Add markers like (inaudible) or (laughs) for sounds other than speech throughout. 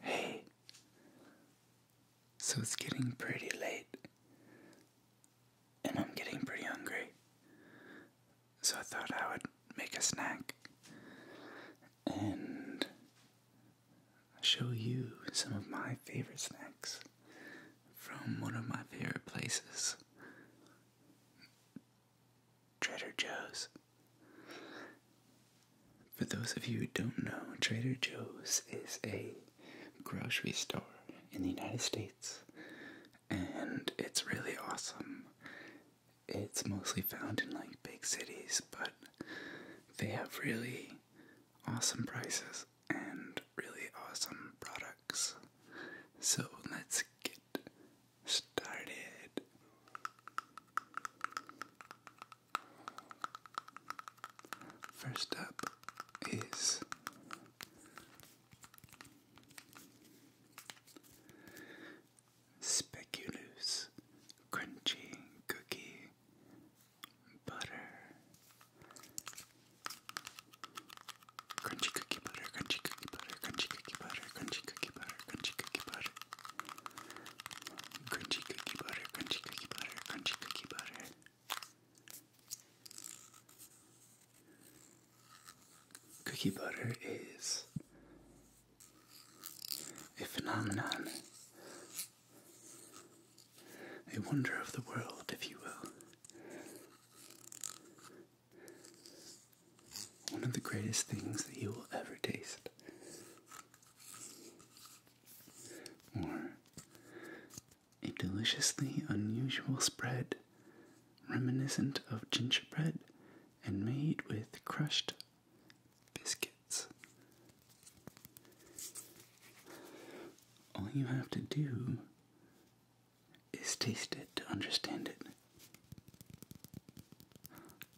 Hey, so it's getting pretty late, and I'm getting pretty hungry, so I thought I would make a snack and show you some of my favorite snacks from one of my favorite places. Trader Joe's. For those of you who don't know, Trader Joe's is a grocery store in the United States and it's really awesome. It's mostly found in like big cities, but they have really awesome prices and really awesome products. So let's get started. First up is Speculoos Crunchy Cookie Butter. Crunchy cookie butter, crunchy cookie butter, crunchy cookie butter, crunchy cookie butter, crunchy cookie butter. Crunchy cookie butter, crunchy cookie butter, crunchy cookie butter. Cookie butter is a phenomenon, a wonder of the world, if you will. One of the greatest things that you will ever taste or a deliciously unusual spread, reminiscent of gingerbread and made with crushed biscuits. All you have to do is taste it to understand it.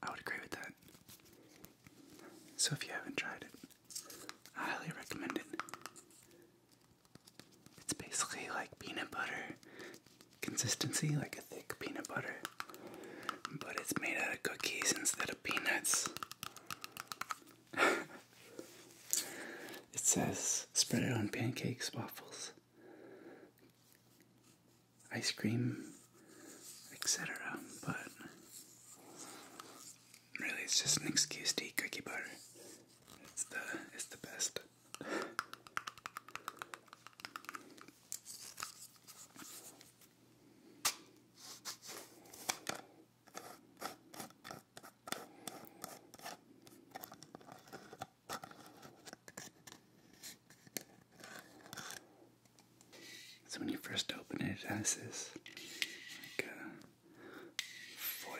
I would agree with that. So if you haven't tried it, I highly recommend it. It's basically like peanut butter consistency, like a thick peanut butter, but it's made out of cookies instead of peanuts. (laughs) it says spread it on pancakes, waffles, ice cream, etc. But really, it's just an excuse to eat cookie butter. It's the it's the best. So when you first open it, it has this like uh, foil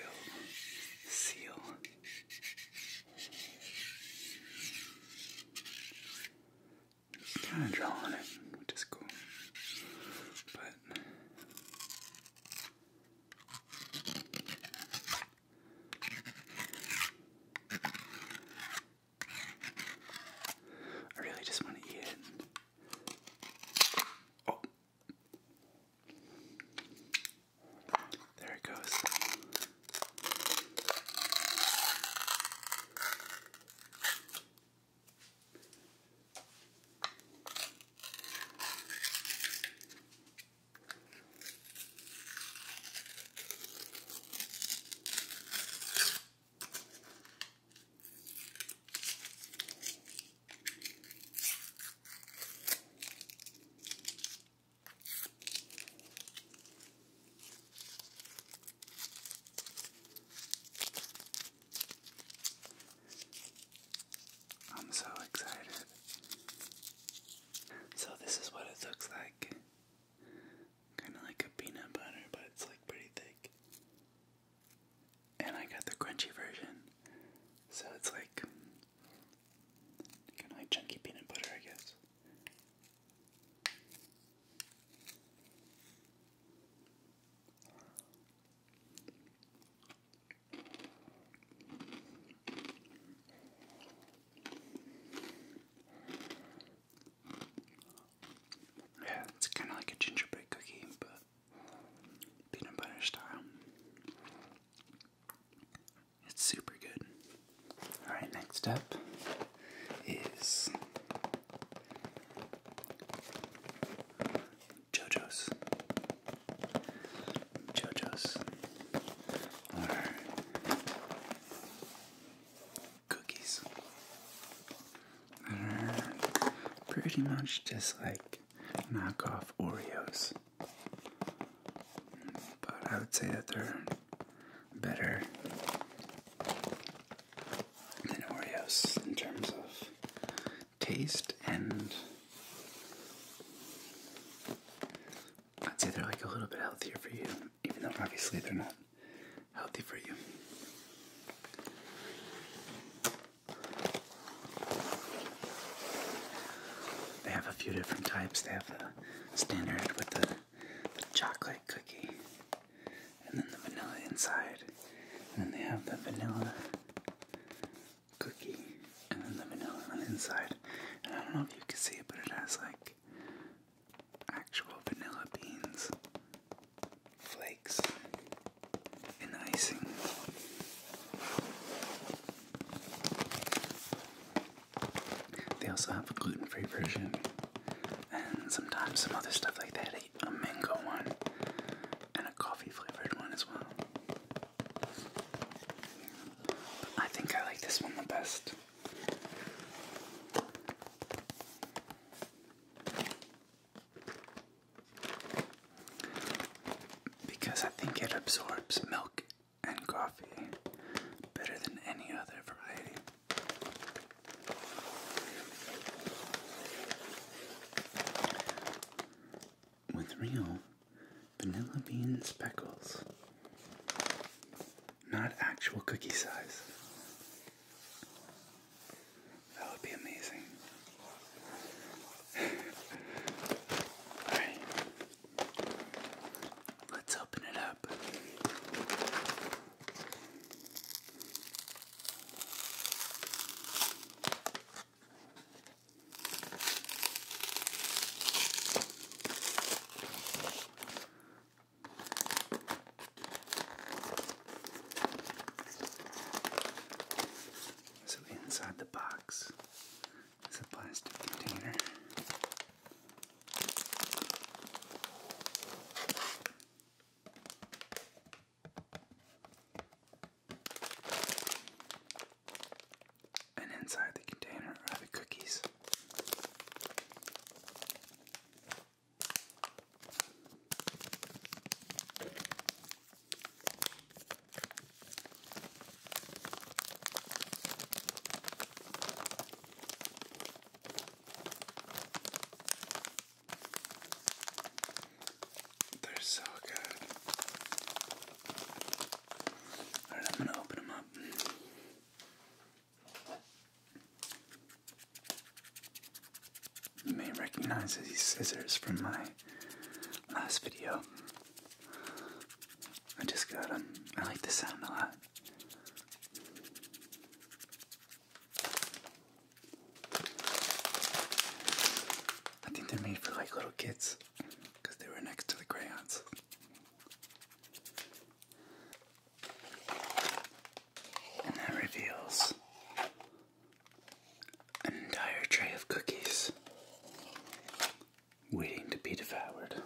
seal. Just kind of draw on it, which is cool, but. I really just want to eat it. Oh. There it goes. I'm so excited. So, this is what it looks like Kind of like a peanut butter, but it's like pretty thick. And I got the crunchy version. So it's like kind of like chunky peanut butter, I guess. Yeah, it's kind of like a gingerbread cookie, but peanut butter style. It's super good. Alright, next up is JoJo's. JoJo's cookies pretty much just like knockoff Oreos. But I would say that they're better than Oreos in terms of taste and I'd say they're like a little bit healthier for you, even though obviously they're not healthy for you. They have a few different types. They have the standard with the, chocolate cookie, and then the vanilla inside, and then they have the vanilla cookie, and then the vanilla on the inside. And I don't know if you can see it, but it has like actual vanilla beans, flakes, and icing. They also have a gluten free version, and sometimes some other stuff like that a mango one, and a coffee flavored one as well. I think I like this one the best. Because I think it absorbs milk and coffee better than any other variety. With real vanilla bean speckles not actual cookie size. That would be amazing. (laughs) Alright, let's open it up. So inside the box is a plastic container. And inside the container are the cookies. They're so good. Alright, I'm gonna open them up. You may recognize these scissors from my last video. I just got them. I like the sound a lot. I think they're made for like little kids because they were next to the crayons. And that reveals an entire tray of cookies waiting to be devoured.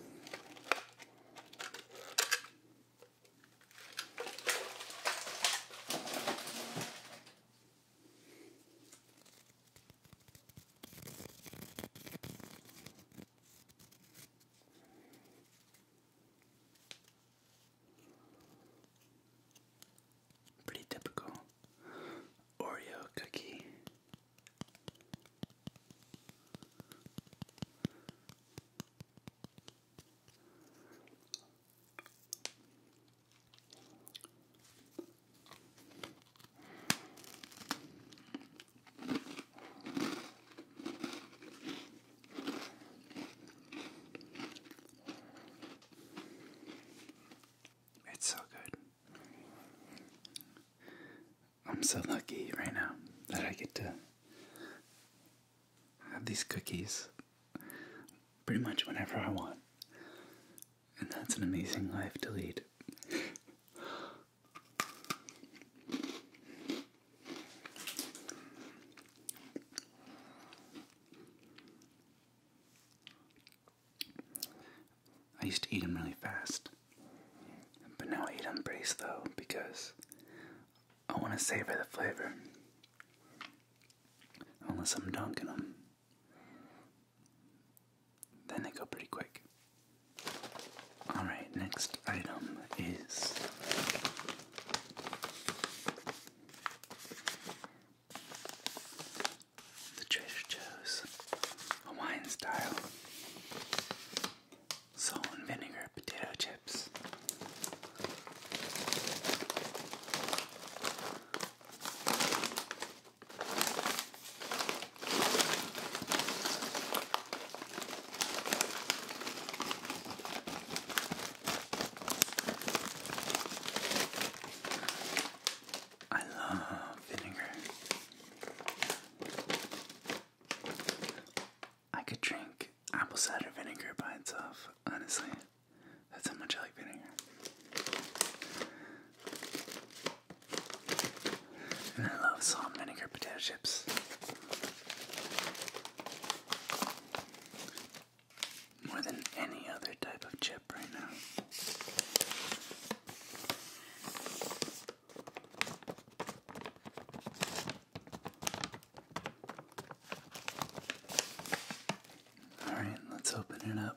Pretty typical Oreo cookie. It's so good. I'm so lucky right now that I get to have these cookies pretty much whenever I want. And that's an amazing life to lead. I used to eat them really fast, but now I eat them brace though because I want to savor the flavor. Unless I'm dunking them, then they go pretty quick. Alright, next item is the Trader Joe's Hawaiian style salt and vinegar potato chips. I love vinegar. I could drink apple cider vinegar by itself, honestly. That's how much I like vinegar. And I love salt vinegar potato chips. More than any other type of chip right now. Alright, let's open it up.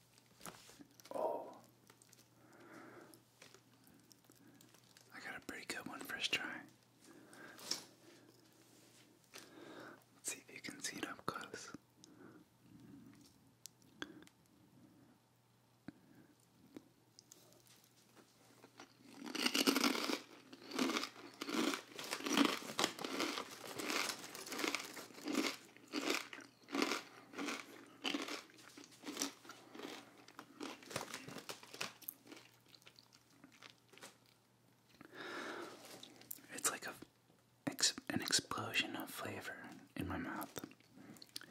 Oh. I got a pretty good one first try. Let's see if you can see it up close. It's like a an explosion of flavor in my mouth.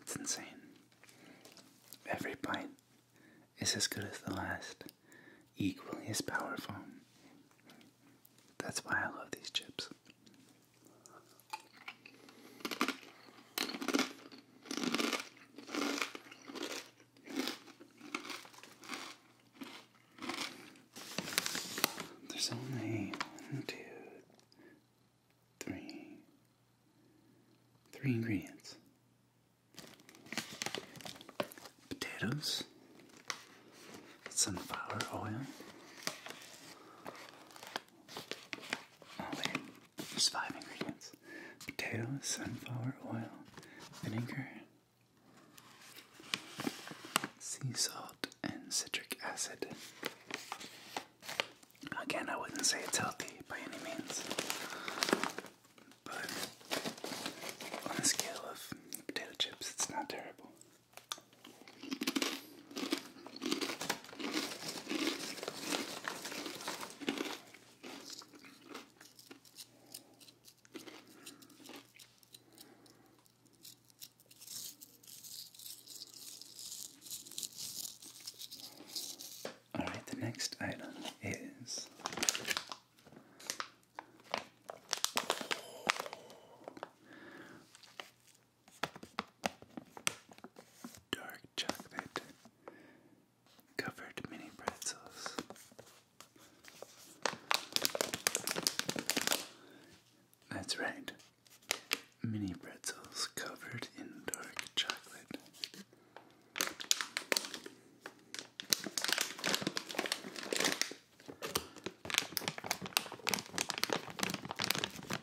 It's insane. Every bite is as good as the last, equally as powerful. That's why I love these chips. There's only one, two, three, three ingredients potatoes, sunflower oil, all in. There's five ingredients. Potatoes, sunflower oil, vinegar, sea salt, and citric acid. Again, I wouldn't say it's healthy by any means. But on a scale of potato chips, it's not terrible. All right, the next item is dark chocolate covered mini pretzels. That's right, mini pretzels covered in dark chocolate.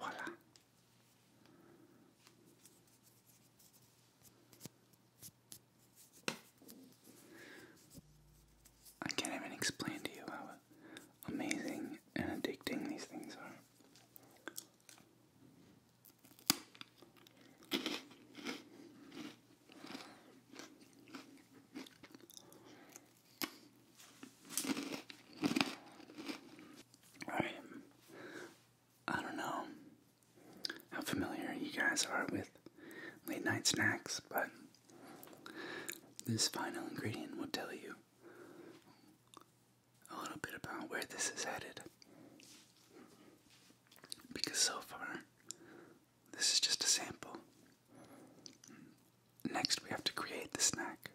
Voilà. I can't even explain to you how amazing and addicting these things are. Alright. I don't know how familiar you guys are with late night snacks, but this final ingredient will tell you a little bit about where this is headed. Because so far, this is just a sample. Next, we have to create the snack.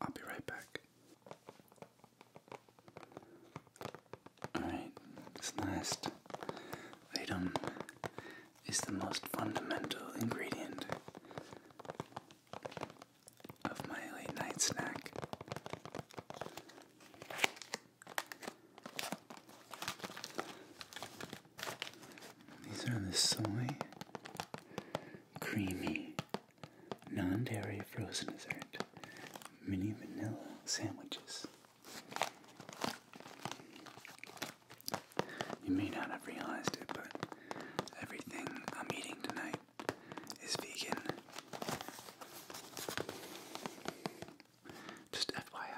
I'll be right back. Alright, this last item is the most fundamental ingredient of my late night snack. These are the soy, creamy, non dairy frozen dessert, mini vanilla sandwiches. You may not have realized it, but everything I'm eating tonight is vegan. Just FYI.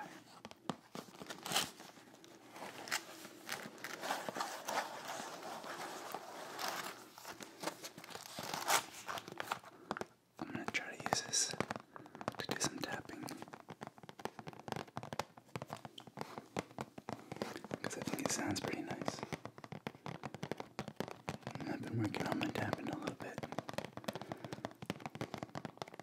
I'm going to try to use this to do some tapping. Because I think it sounds pretty nice. I've been working on my tapping a little bit.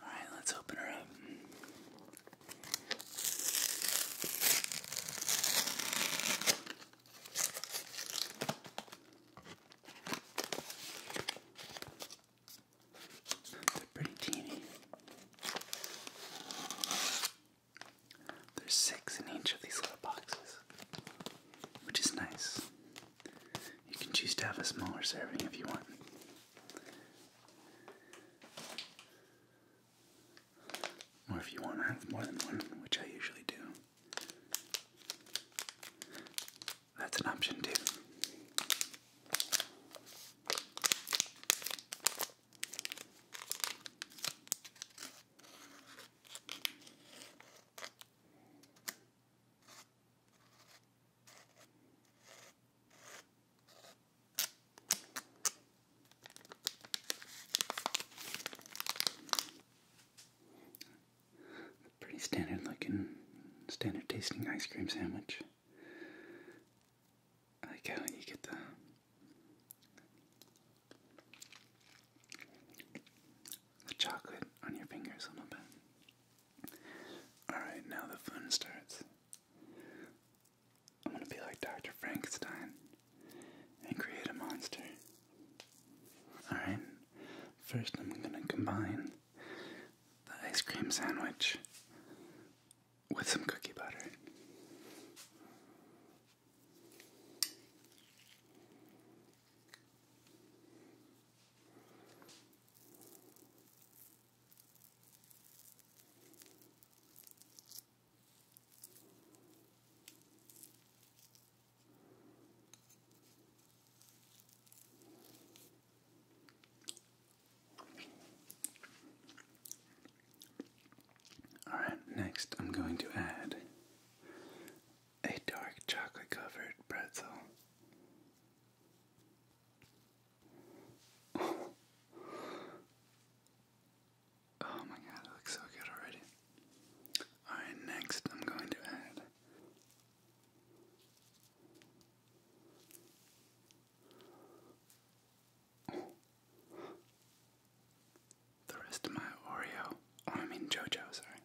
Alright, let's open her up. They're pretty teeny. There's six in each of these little boxes, which is nice. You can choose to have a smaller serving if you want. Or if you want to have more than one, which I usually do, that's an option too. Pretty standard looking, standard tasting ice cream sandwich. like how you get the chocolate on your fingers a little bit. Alright, now the fun starts. I'm gonna be like Dr. Frankenstein and create a monster. Alright, first I'm gonna combine the ice cream sandwich with some cookie butter. All right, next I'm going to add a dark chocolate covered pretzel. Oh my god, it looks so good already. Alright, next I'm going to add the rest of my Oreo. Oh, I mean JoJo, sorry.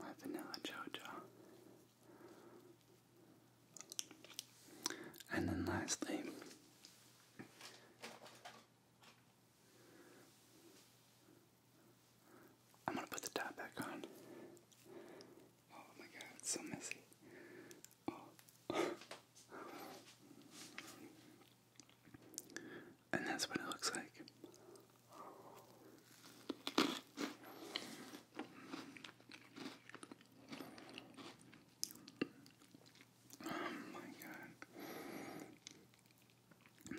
My vanilla JoJo. And then lastly, I'm gonna put the top back on. Oh my god, it's so messy. Oh. and that's what it looks like. Oh my god.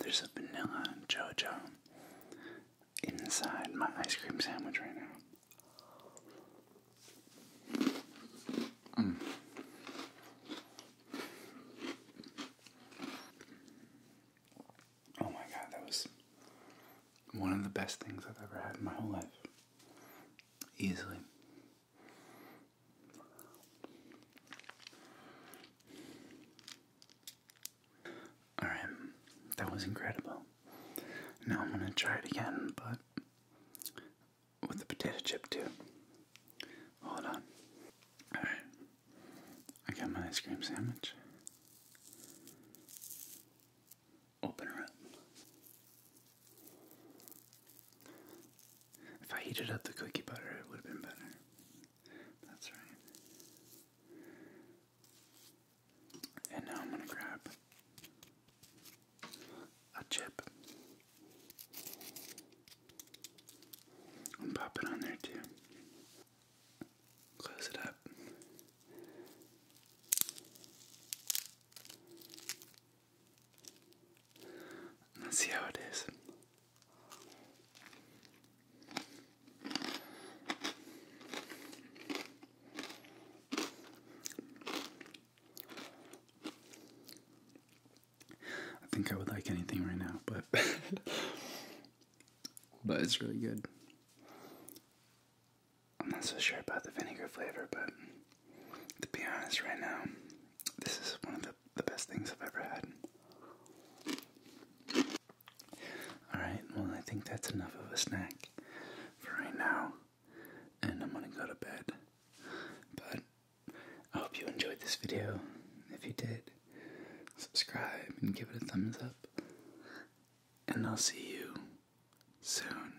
There's a vanilla JoJo inside my ice cream sandwich right now. Mm. Oh my god, that was one of the best things I've ever had in my whole life. Easily. Alright, that was incredible. Now I'm gonna try it again, but with the potato chip too. Hold on. Alright, I got my ice cream sandwich open her up. If I heated up the cookie butter, it would have been better. That's right. And now I'm going to grab a chip and pop it on there too. Close it up. Let's see how it is. I think I would like anything right now, but (laughs) but it's really good. I'm not so sure about the vinegar flavor, but to be honest, right now, this is one of the, the best things I've ever had. Alright, well, I think that's enough of a snack for right now, and I'm gonna go to bed. But I hope you enjoyed this video. If you did, subscribe and give it a thumbs up, and I'll see you soon.